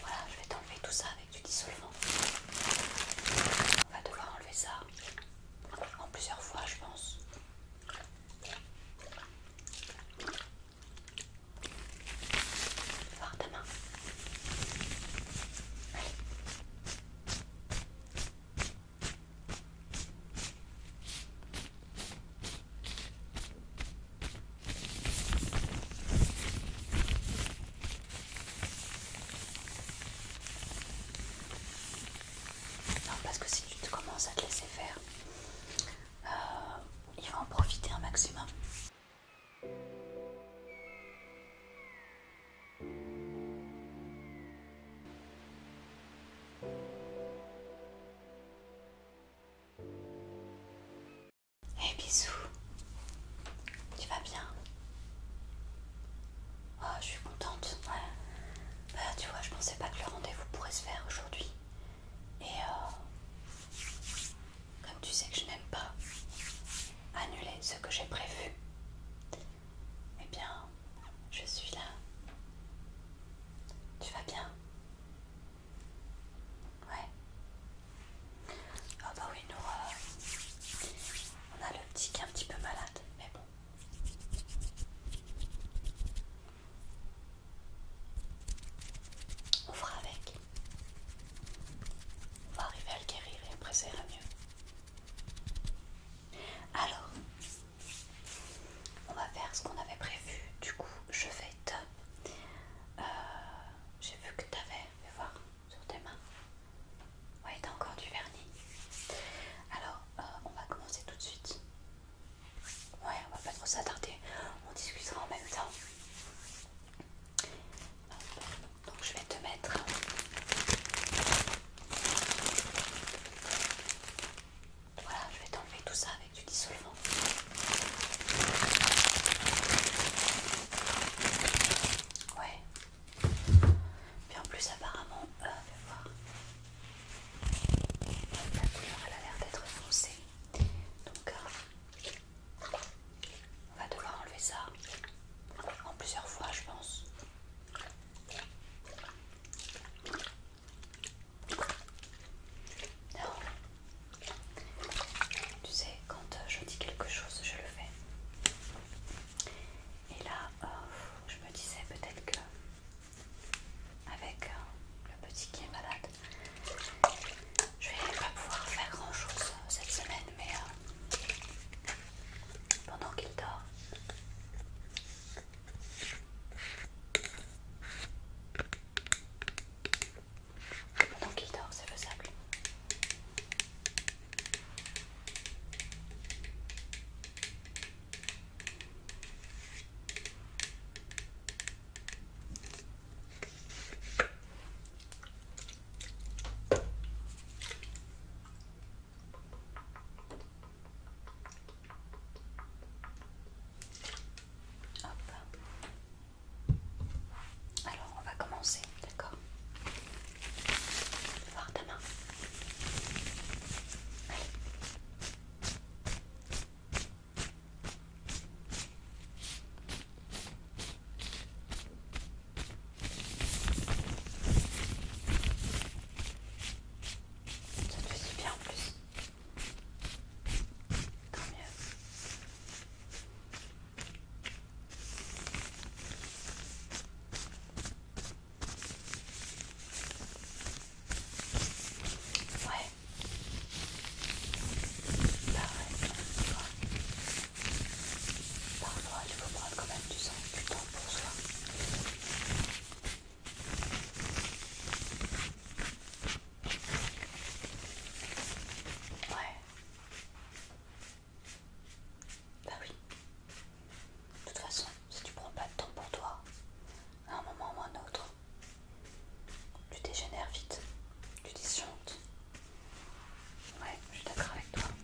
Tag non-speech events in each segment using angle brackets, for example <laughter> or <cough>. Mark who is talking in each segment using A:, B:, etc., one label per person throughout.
A: Voilà, je vais t'enlever tout ça avec du dissolvant. On va devoir enlever ça en plusieurs fois, je pense. Voir ta main. Allez. Non, parce que si tu te commences à te laisser faire, euh, il va en profiter un maximum. Hey eh, bisous, tu vas bien Oh, je suis contente. Bah, tu vois, je pensais pas que le rendez-vous pourrait se faire aujourd'hui. Et euh, comme tu sais que je n'aime pas annuler ce que j'ai prévu, eh bien, je suis là. Tu vas bien Ouais. oh bah oui, nous, euh, on a le petit qui est un petit peu malade, mais bon. On fera avec. On va arriver à le guérir et après ça ira mieux. Alors, on va faire ce qu'on avait prévu. Du coup, je vais te. Euh, j'ai vu que tu avais. voir sur tes mains. Ouais, t'as encore du vernis. Alors, euh, on va commencer tout de suite. Ouais, on va pas trop s'attarder. On discutera en même temps. Donc, je vais te mettre voilà, je vais t'enlever tout ça avec du dissolvant. Ouais. Puis en plus, apparemment, euh, La couleur, elle a l'air d'être foncée. Donc, euh, on va devoir enlever ça en plusieurs fois, je pense. Non. Tu sais, quand euh, je dis quelque chose, je le fais. Et là, euh, je me disais peut-être que avec euh, le petit qui est malade, je vais pas pouvoir faire grand chose cette semaine, mais pendant qu'il dort. Pendant qu'il dort, c'est sable. Alors, on va commencer, d'accord Voir ta main. Ça te fait du bien en plus. Tant mieux. Ouais. Bah tu bah Pareil, parfois il faut prendre quand même du sang, du temps Ouais. Bah oui. De toute façon, si tu prends pas de temps pour toi, à un moment ou à un autre, tu dégénères vite, tu disjonctes. Ouais, je suis d'accord avec toi.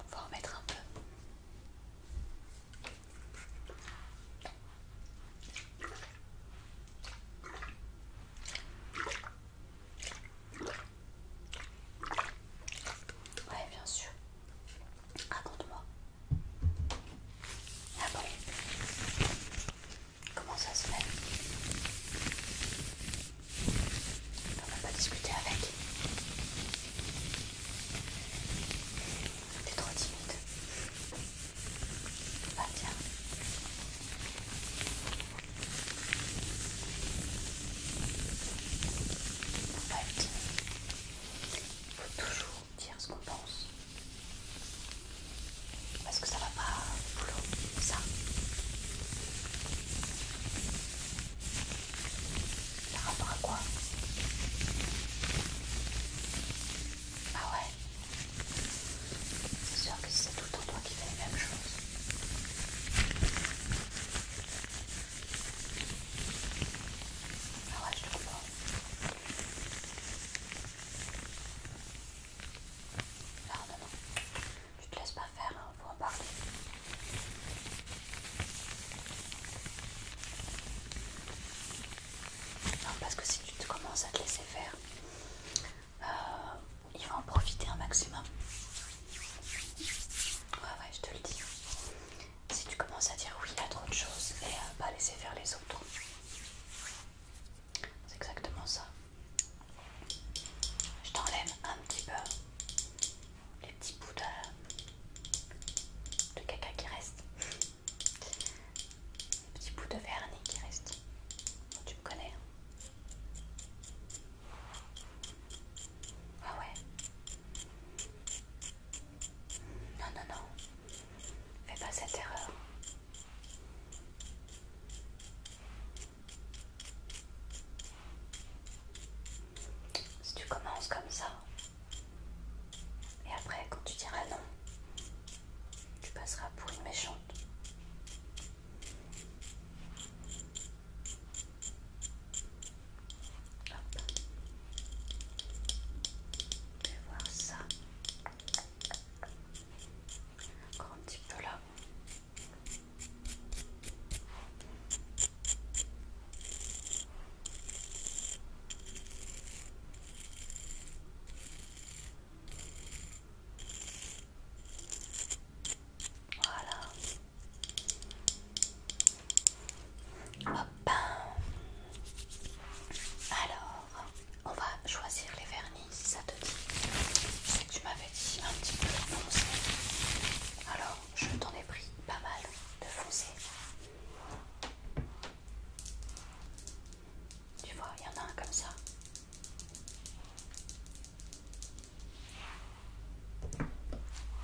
A: On va en mettre un peu. Ouais, bien sûr. Raconte-moi. Ah Comment ça se fait on va pas discuter avec. T'es trop timide. Tu tiens. Faut pas être timide. Faut toujours dire ce qu'on pense. Parce que ça va pas au boulot, ça. Par rapport à quoi Ah ouais C'est sûr que c'est tout le temps toi qui fais les mêmes choses. Ah ouais, je te comprends. Non, non, non. Tu te laisses pas faire, hein, faut en parler. Non, parce que si tu te commences à te laisser faire, euh, il va en profiter un maximum. Ouais, ouais, je te le dis. Si tu commences à dire oui à trop de choses et à pas laisser faire les autres, c'est exactement ça. Je t'enlève un petit peu les petits bouts de, caca qui restent, les petits bouts de vernis qui restent. Oh, tu me connais. Hein. ah ouais. Non, non, non. Fais pas cette erreur. Si tu commences comme ça, et après quand tu diras non, tu passeras pour une méchante. Hop. Je vais voir ça. Encore un petit peu là. Voilà. Alors, on va choisir les vernis si ça te dit. c'est que tu m'avais dit un petit peu de foncé. Alors, je t'en ai pris pas mal de foncé. Tu vois, il y en a un comme ça.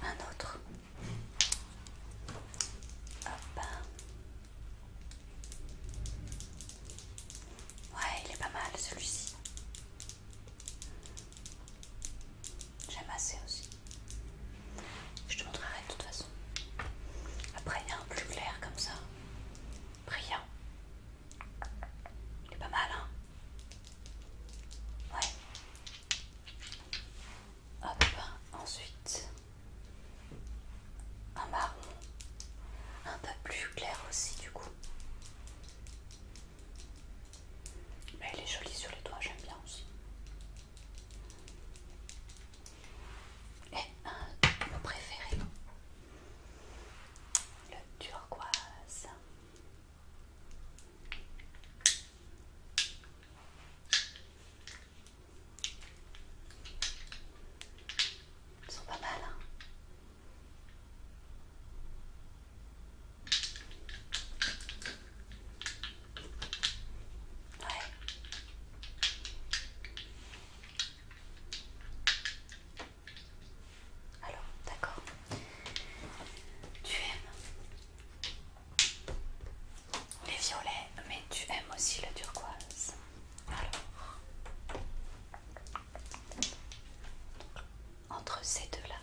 A: Un autre. Hop. Ouais, il est pas mal celui-ci. J'aime assez aussi. Je te montrerai de toute façon. Après, il y a un plus clair comme ça. Brillant. Il est pas mal, hein Ouais. Hop, ensuite un marron, un peu plus clair aussi du coup. Mais bah, elle est jolie sur les doigts, j'aime bien aussi. Et un euh, de mes préférés, le turquoise. Ils sont pas mal, hein alors, d'accord. Tu aimes les violets, mais tu aimes aussi le turquoise. Alors entre ces deux-là.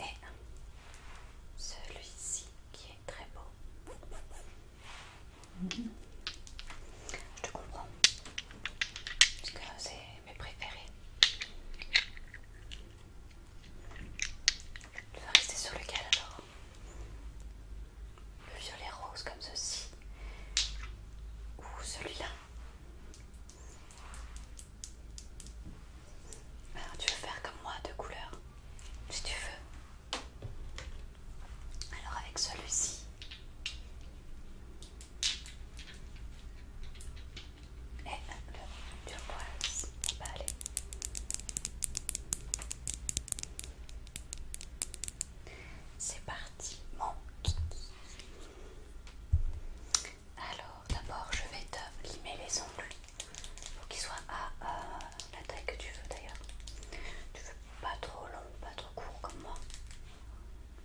A: Et celui-ci qui est très beau. Je te comprends. Parce que c'est mes préférés. Je vais rester sur lequel alors le violet rose comme ceci, ou celui-là. Alors bah, tu veux faire comme moi deux couleurs, si tu veux. Alors avec celui-ci. Et le turquoise, on va bah, aller. C'est parti, mon kiki. Alors, d'abord, je vais te limer les ongles pour qu'ils soient à euh, la taille que tu veux d'ailleurs. Tu veux pas trop long, pas trop court comme moi.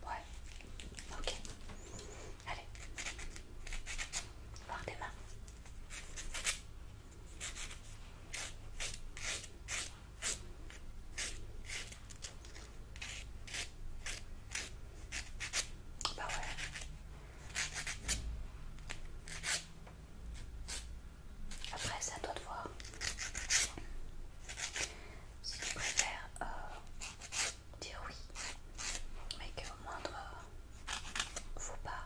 A: Ouais, ok. Allez, voir tes mains. Bah ouais. Après, ça doit toi de voir. Si tu préfères euh, dire oui, mais que au moindre euh, faux pas,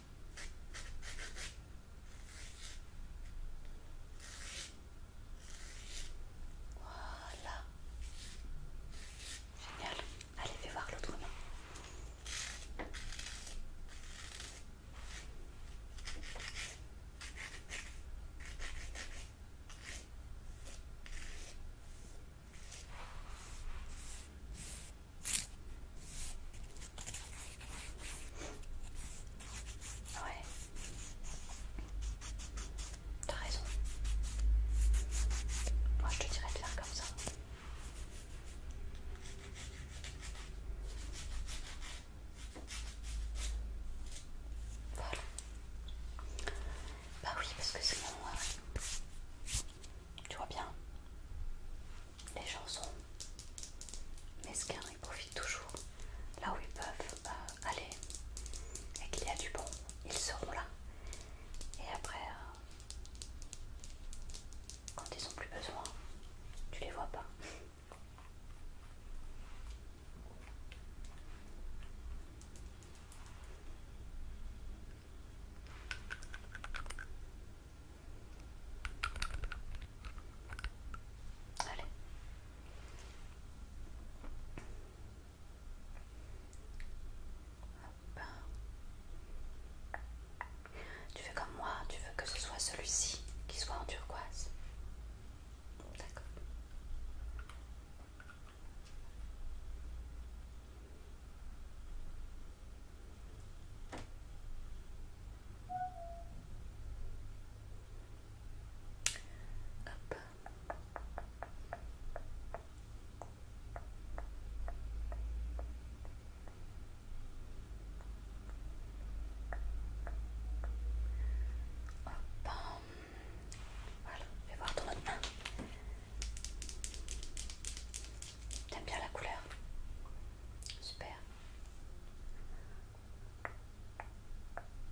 A: Voilà. Génial. Allez, fais voir l'autre main. Ouais. T'as raison. Moi je te dirais de faire comme ça. Voilà. Bah oui, parce que c'est bon. Euh, tu vois bien les gens sont Mesquins, ils profitent toujours là où ils peuvent euh, aller et qu'il y a du bon, ils seront là. Et après, euh, quand ils ont plus besoin, tu les vois pas. Tu fais comme moi, tu veux que ce soit celui-ci qui soit en turquoise. D'accord. Voilà, je vais voir ton autre main. T'aimes bien la couleur Super.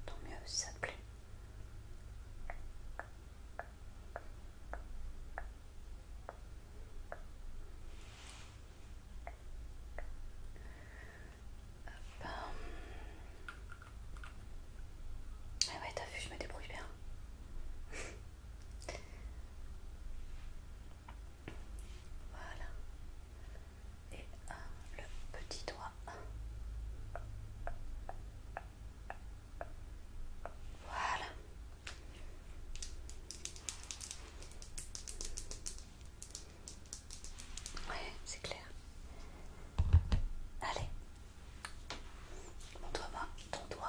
A: Tant mieux ça te plaît. Ah ouais, t'as vu, je me débrouille bien. <laughs> Voilà. Et le petit doigt. Voilà. Ouais, c'est clair. Allez. doigt moi ton doigt.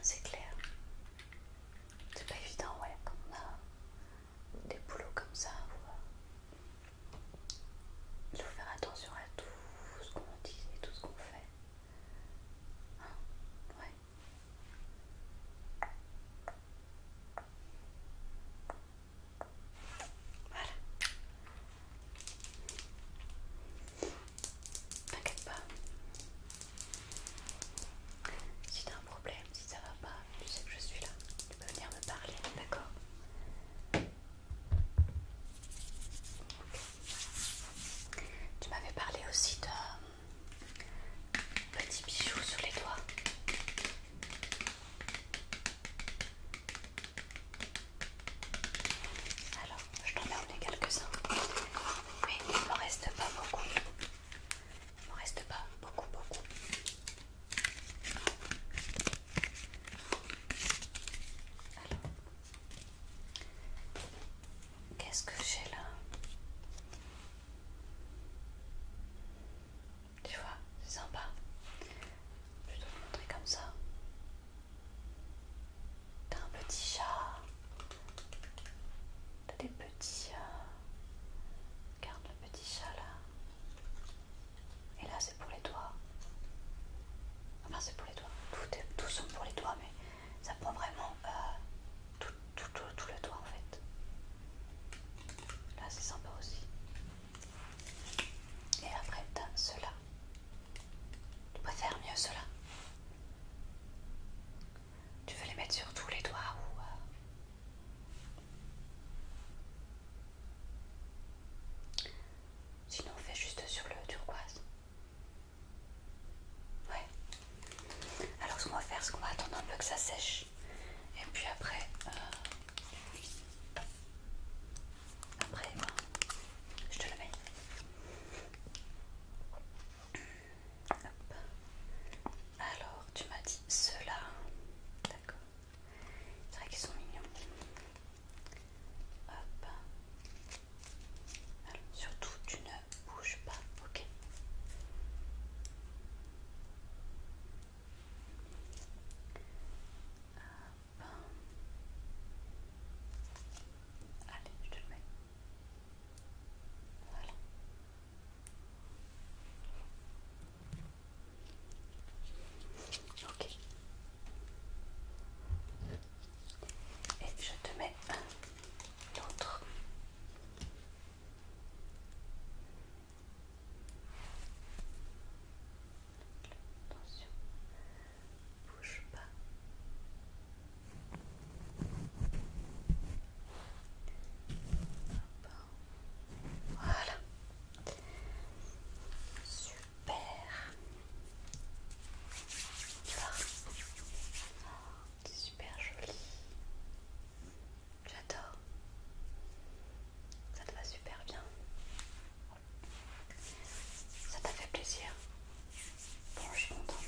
A: C'est clair. C'est pas évident, ouais, quand on a des boulots comme ça. Euh, il faut faire attention à tout ce qu'on dit et tout ce qu'on fait. Hein, ouais. Voilà. T'inquiète pas. Si t'as un problème, si ça va pas, tu sais que je suis là. Tu peux venir me parler, d'accord Tu m'avais parlé aussi de petits bijoux sur les doigts. Alors, je t'en ai emmené quelques-uns, mais il ne me reste pas beaucoup. Il ne me reste pas beaucoup, beaucoup. Alors, qu'est-ce que j'ai là Tu vois, c'est sympa. Je dois le montrer comme ça. T'as un petit chat. T'as des petits. Euh, regarde le petit chat là. Et là c'est pour les doigts. Enfin c'est pour les doigts. Tout, sont pour les doigts mais ça prend vraiment euh, tout, le doigt en fait. Là c'est sympa aussi. Et après t'as ceux-là. Tu peux faire mieux cela. Tu veux les mettre sur tous les doigts ou... Euh, Sinon on fait juste sur le turquoise. Ouais. Alors ce qu'on va faire, c'est qu'on va attendre un peu que ça sèche. Et puis après... Euh, après, moi, ben, je te le mets. Alors, tu m'as dit cela. D'accord. C'est vrai qu'ils sont mignons. Hop. surtout, tu ne bouges pas. Ok. Allez, je te le mets. Voilà. Ok. Et je te mets l'autre. autre attention, bouge pas. Voilà, super. Ah, super joli. J'adore. Ça te va super bien. Ça t'a fait plaisir Bon, je suis contente.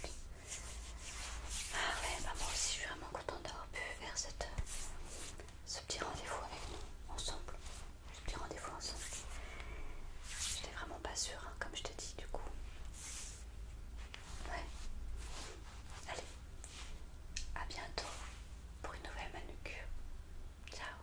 A: Ah ouais, bah aussi je suis vraiment contente d'avoir pu faire ce petit rendez-vous avec nous, ensemble. Ce petit rendez-vous ensemble. J'étais vraiment pas sûre, hein, comme je t'ai dit, du coup. Ouais. Allez, à bientôt pour une nouvelle manucure. Ciao